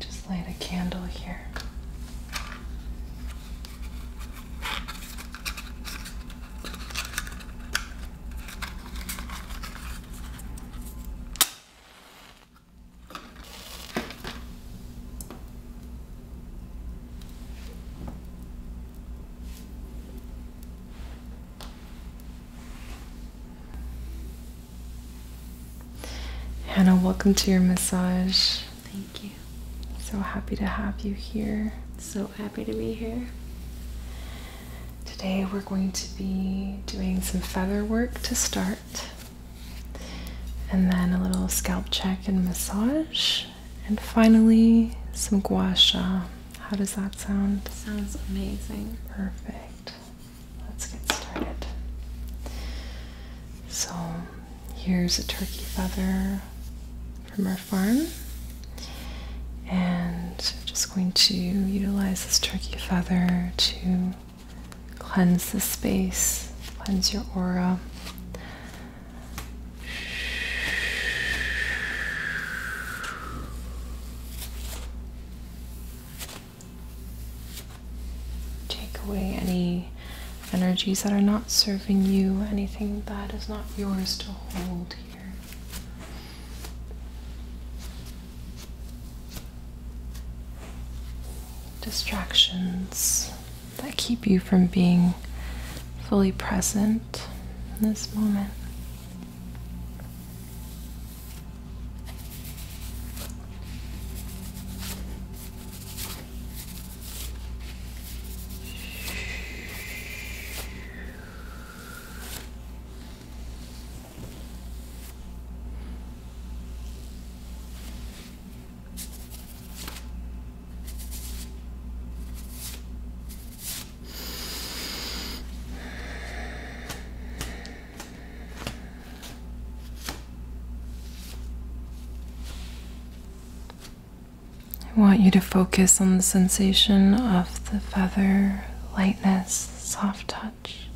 Just light a candle here. Hannah, welcome to your massage. Thank you. So happy to have you here. So happy to be here. Today we're going to be doing some feather work to start. And then a little scalp check and massage. And finally, some gua sha. How does that sound? Sounds amazing. Perfect. Let's get started. So, here's a turkey feather from our farm. And I'm just going to utilize this turkey feather to cleanse the space, cleanse your aura. Take away any energies that are not serving you, anything that is not yours to hold here. Distractions that keep you from being fully present in this moment. I want you to focus on the sensation of the feather lightness, soft touch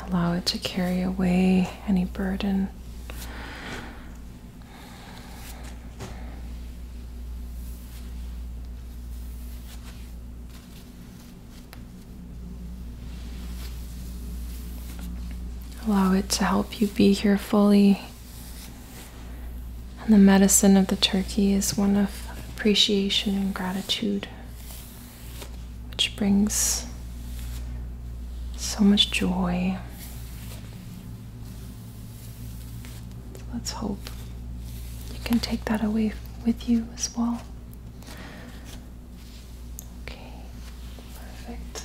and allow it to carry away any burden. Allow it to help you be here fully. And the medicine of the turkey is one of appreciation and gratitude which brings so much joy. let's hope you can take that away with you as well. Okay, perfect.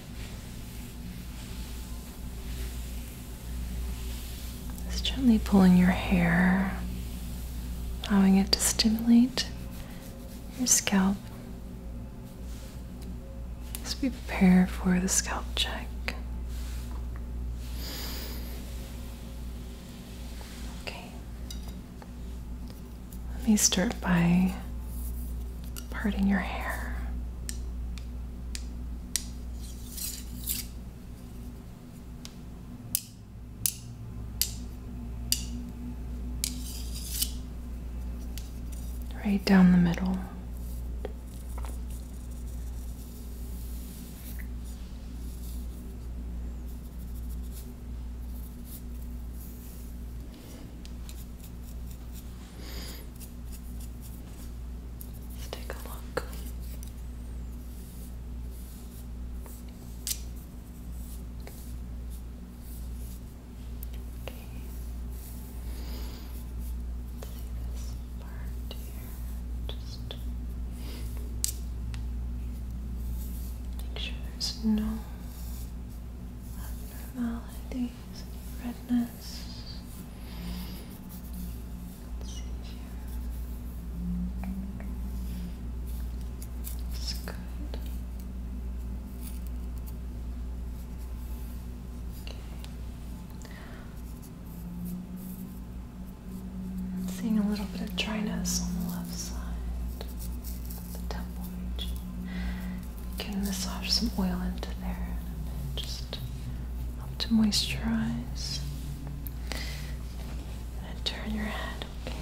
Just gently pulling your hair, allowing it to stimulate your scalp. As we prepare for the scalp check. Okay. Let me start by parting your hair. Right down the middle. Let's take a look. Okay. see this part here. Just make sure there's no abnormality redness. let good. I'm seeing a little bit of dryness on the left side, the temple region. You can massage some oil into there just help to moisturize. And turn your head, okay?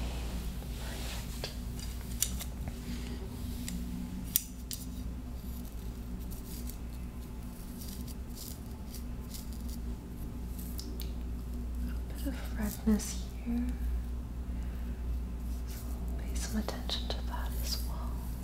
A bit of redness here. So pay some attention to that as well.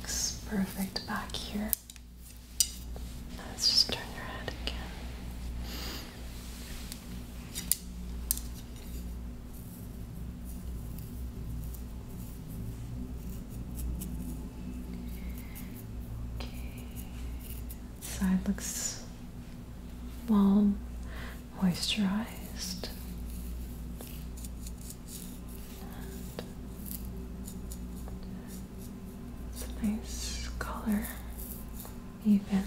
Looks perfect back here. Let's just turn your head again. Okay, side looks warm moisturized. it's a nice color, even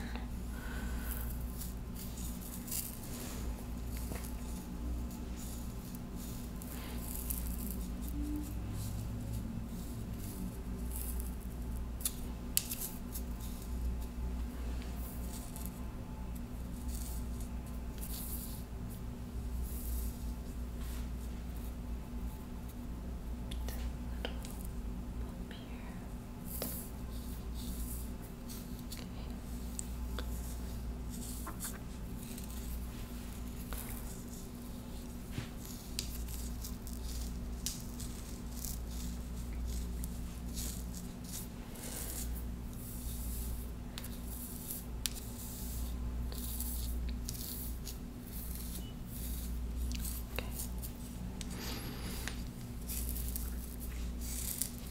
little bump here. Okay. Okay.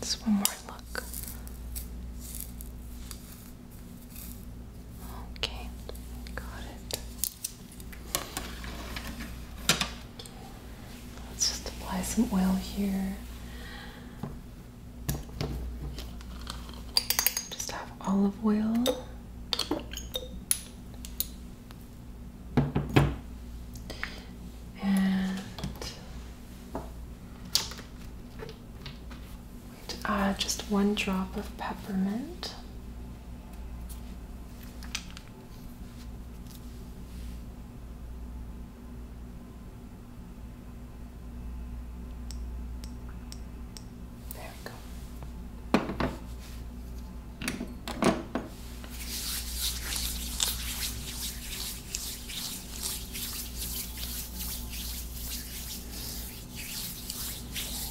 Just one more look. Okay, got it. Let's just apply some oil here. Just have olive oil. And to add just one drop of peppermint. There we go.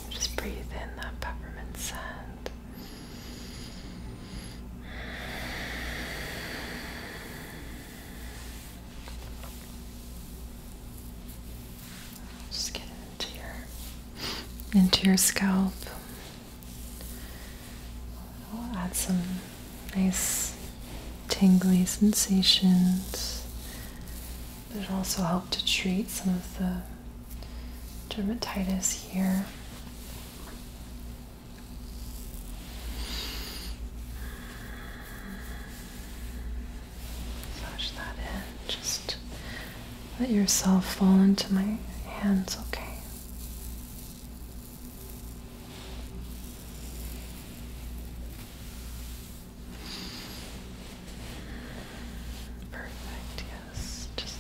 Just breathe in that peppermint scent. Just get into your into your scalp. We'll add some nice tingly sensations. It'll also help to treat some of the dermatitis here. Massage that in. Just let yourself fall into my hands, okay? Perfect, yes. Just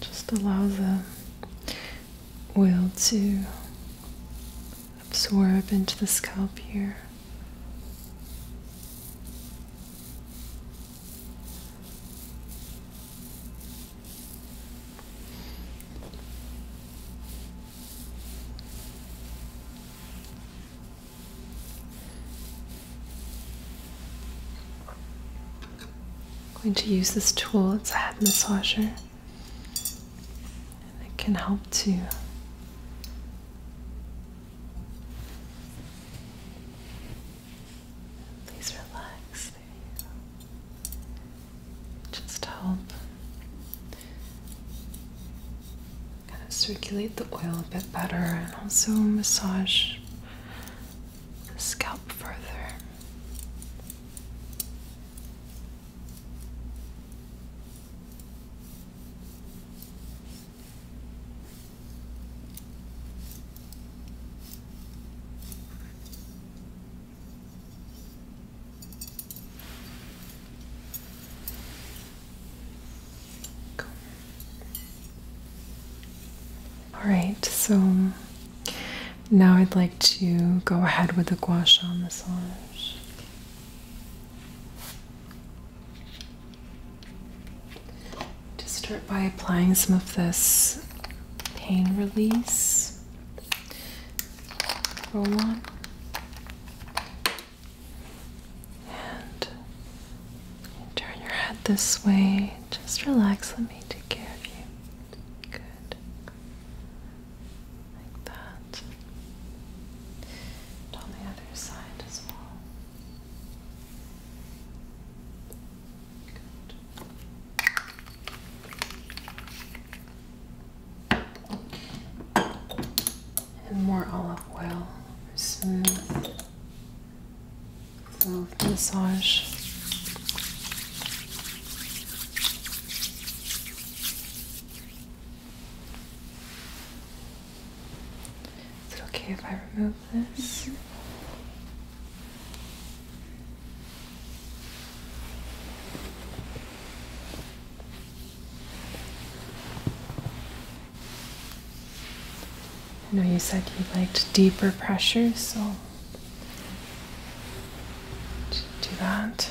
just allows the will to absorb into the scalp here. going to use this tool, it's a head massager. And it can help to please relax. There you help kind of circulate the oil a bit better and also massage the scalp further. All right, so now I'd like to go ahead with the gua sha massage. To start by applying some of this pain release roll on and turn your head this way. Just relax, let me take care of you. Good like that, and on the other side as well. And more olive oil smooth, smooth massage. Is it okay if I remove this? I know you said you liked deeper pressures, so do that.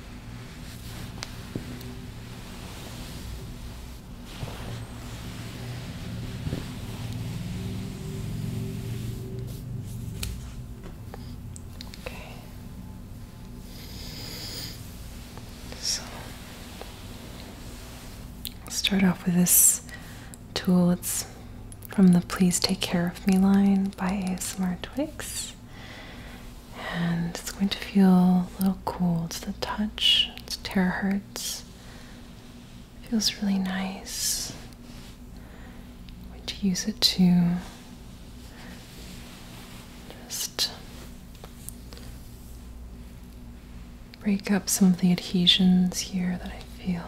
Okay. So I'll start off with this tool. It's from the Please Take Care of Me line by ASMR Twix and it's going to feel a little cool to the touch. It's terahertz. Feels really nice. I'm going to use it to just break up some of the adhesions here that I feel.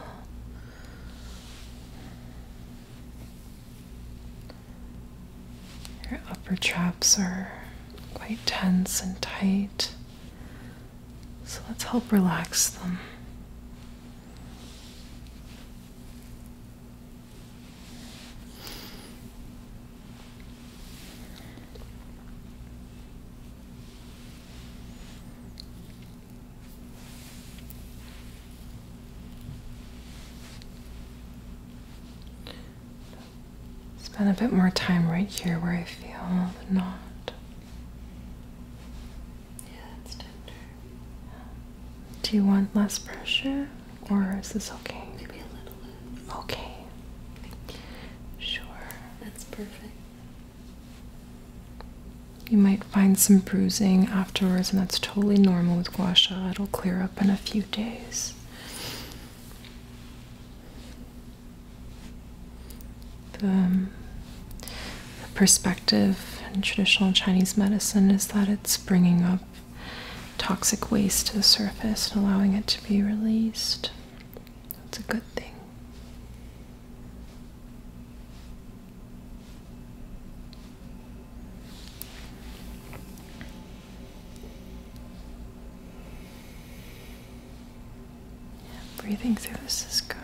Your upper traps are quite tense and tight. So let's help relax them. Spend a bit more time right here where I feel the knot. Yeah, it's tender. Do you want less pressure or is this okay? Maybe a little less. Okay. Sure. That's perfect. You might find some bruising afterwards, and that's totally normal with gua sha. It'll clear up in a few days. Um, the, perspective in traditional Chinese medicine is that it's bringing up toxic waste to the surface and allowing it to be released. That's a good thing breathing through this is good.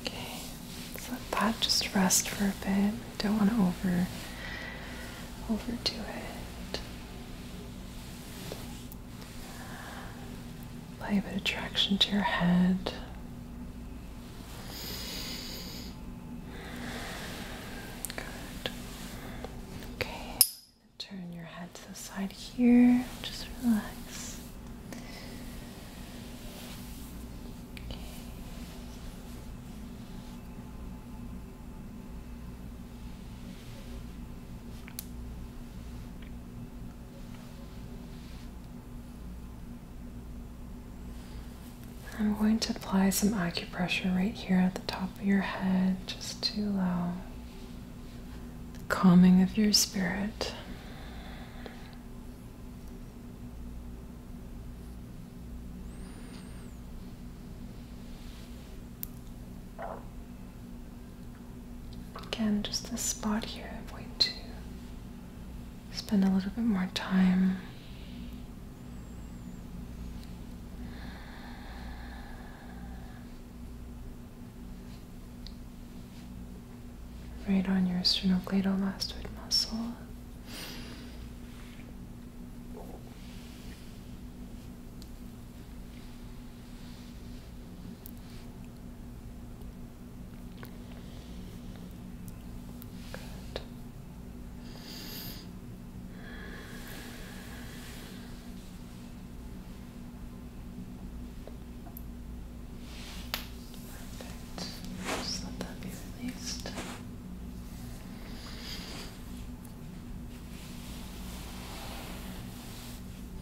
Okay, let let that just rest for a bit. Don't want to over overdo it. Apply a bit of traction to your head. Good. Okay. Turn your head to the side here. Just relax. Okay. I'm going to apply some acupressure right here at the top of your head just to allow the calming of your spirit. Again, just this spot here, I'm going to spend a little bit more time. Right on your sternocleidomastoid muscle. Good. Perfect. Just let that be released.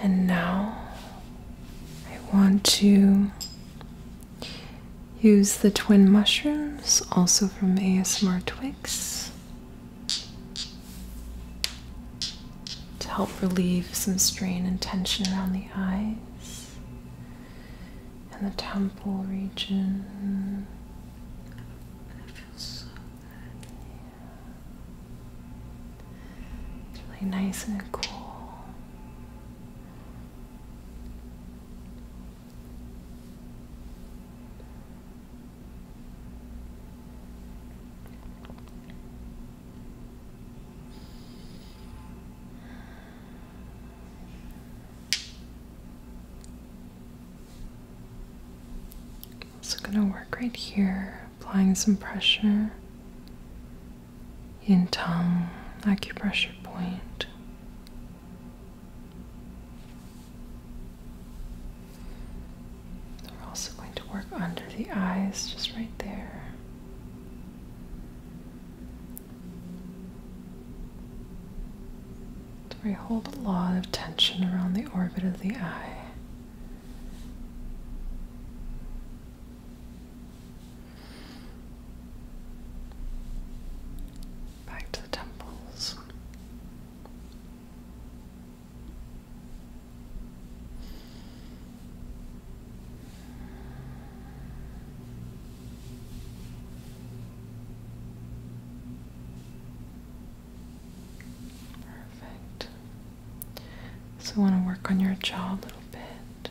And now I want to use the twin mushrooms, also from ASMR Twix, to help relieve some strain and tension around the eyes and the temple region. It's really nice and cool. i also going to work right here, applying some pressure yin tongue acupressure point. We're also going to work under the eyes, just right there. where we hold a lot of tension around the orbit of the eye. Back to the temples. Perfect. So I want to work on your jaw a little bit.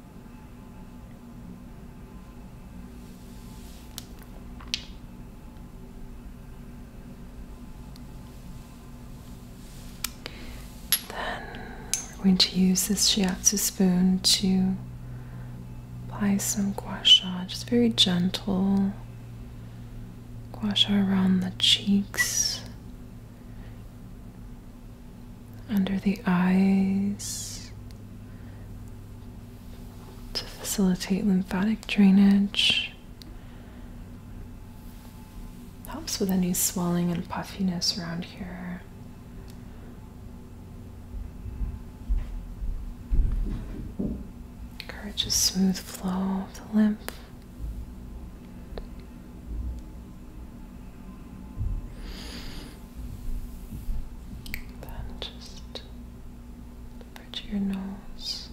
Then we're going to use this shiatsu spoon to apply some gua sha, just very gentle gua sha around the cheeks under the eyes to facilitate lymphatic drainage. Helps with any swelling and puffiness around here. Encourages smooth flow of the lymph. Then just the your nose.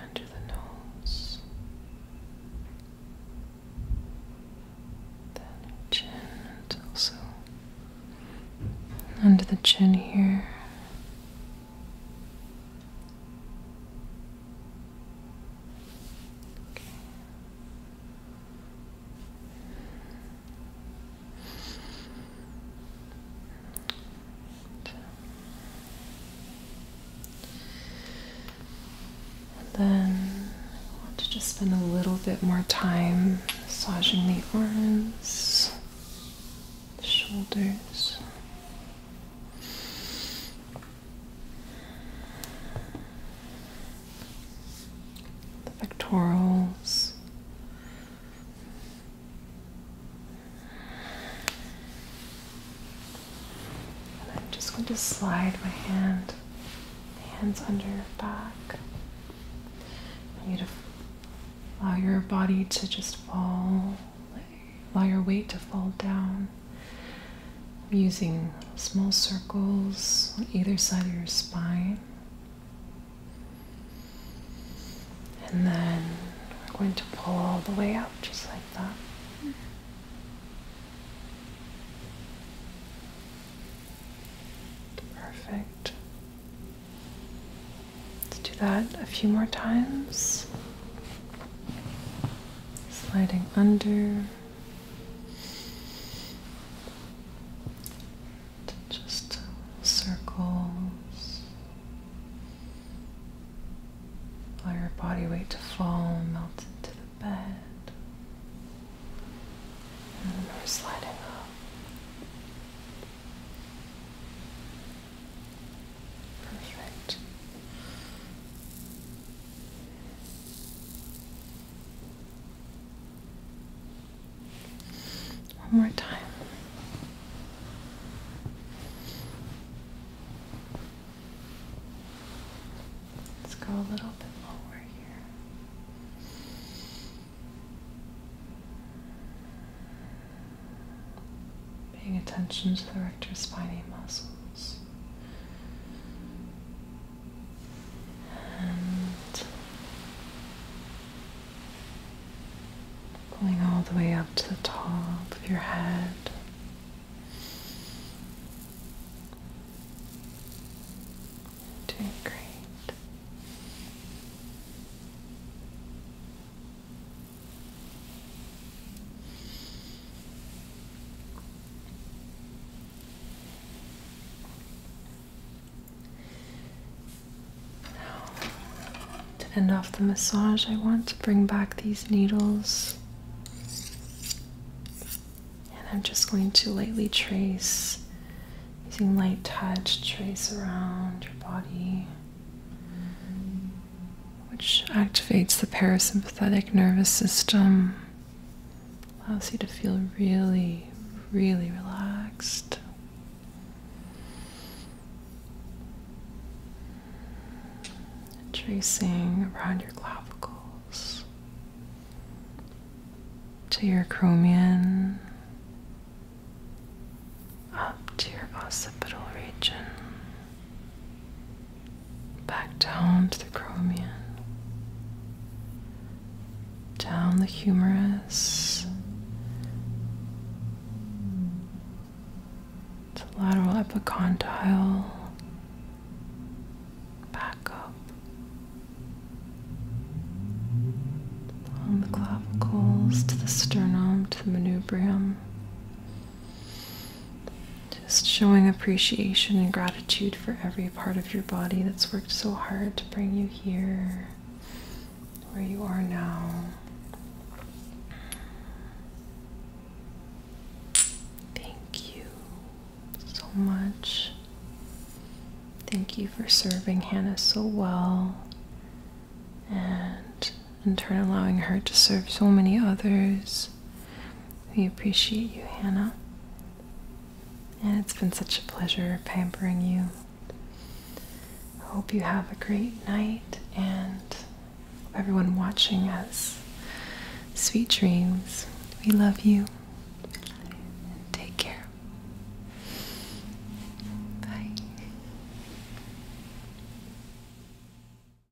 Under the nose, then chin, and also under the chin here, and then I want to just spend a little bit more time massaging the arms the shoulders. The pectorals, and I'm just going to slide my hand, hands under your back. and you to allow your body to just fall Allow your weight to fall down. using small circles on either side of your spine. And then we're going to pull all the way out just like that. Perfect. Let's do that a few more times sliding under just circles. let your body weight to fall, melt into the bed. And we're sliding up. Perfect. One more time. Let's go a little bit lower here paying attention to the rectus spiny muscles. And pulling all the way up to the top of your head. Doing great to end off the massage, I want to bring back these needles. And I'm just going to lightly trace, using light touch, trace around your body which activates the parasympathetic nervous system, allows you to feel really, really relaxed. Tracing around your clavicles to your cranium, up to your occipital region. Back down to the chromium, down the humerus, to lateral epicondyle, back up on the clavicles to the sternum to the manubrium. Just showing appreciation and gratitude for every part of your body that's worked so hard to bring you here, where you are now. Thank you so much. Thank you for serving Hannah so well and in turn allowing her to serve so many others. We appreciate you, Hannah. And it's been such a pleasure pampering you. hope you have a great night and everyone watching us. Sweet dreams. We love you. And take care. Bye.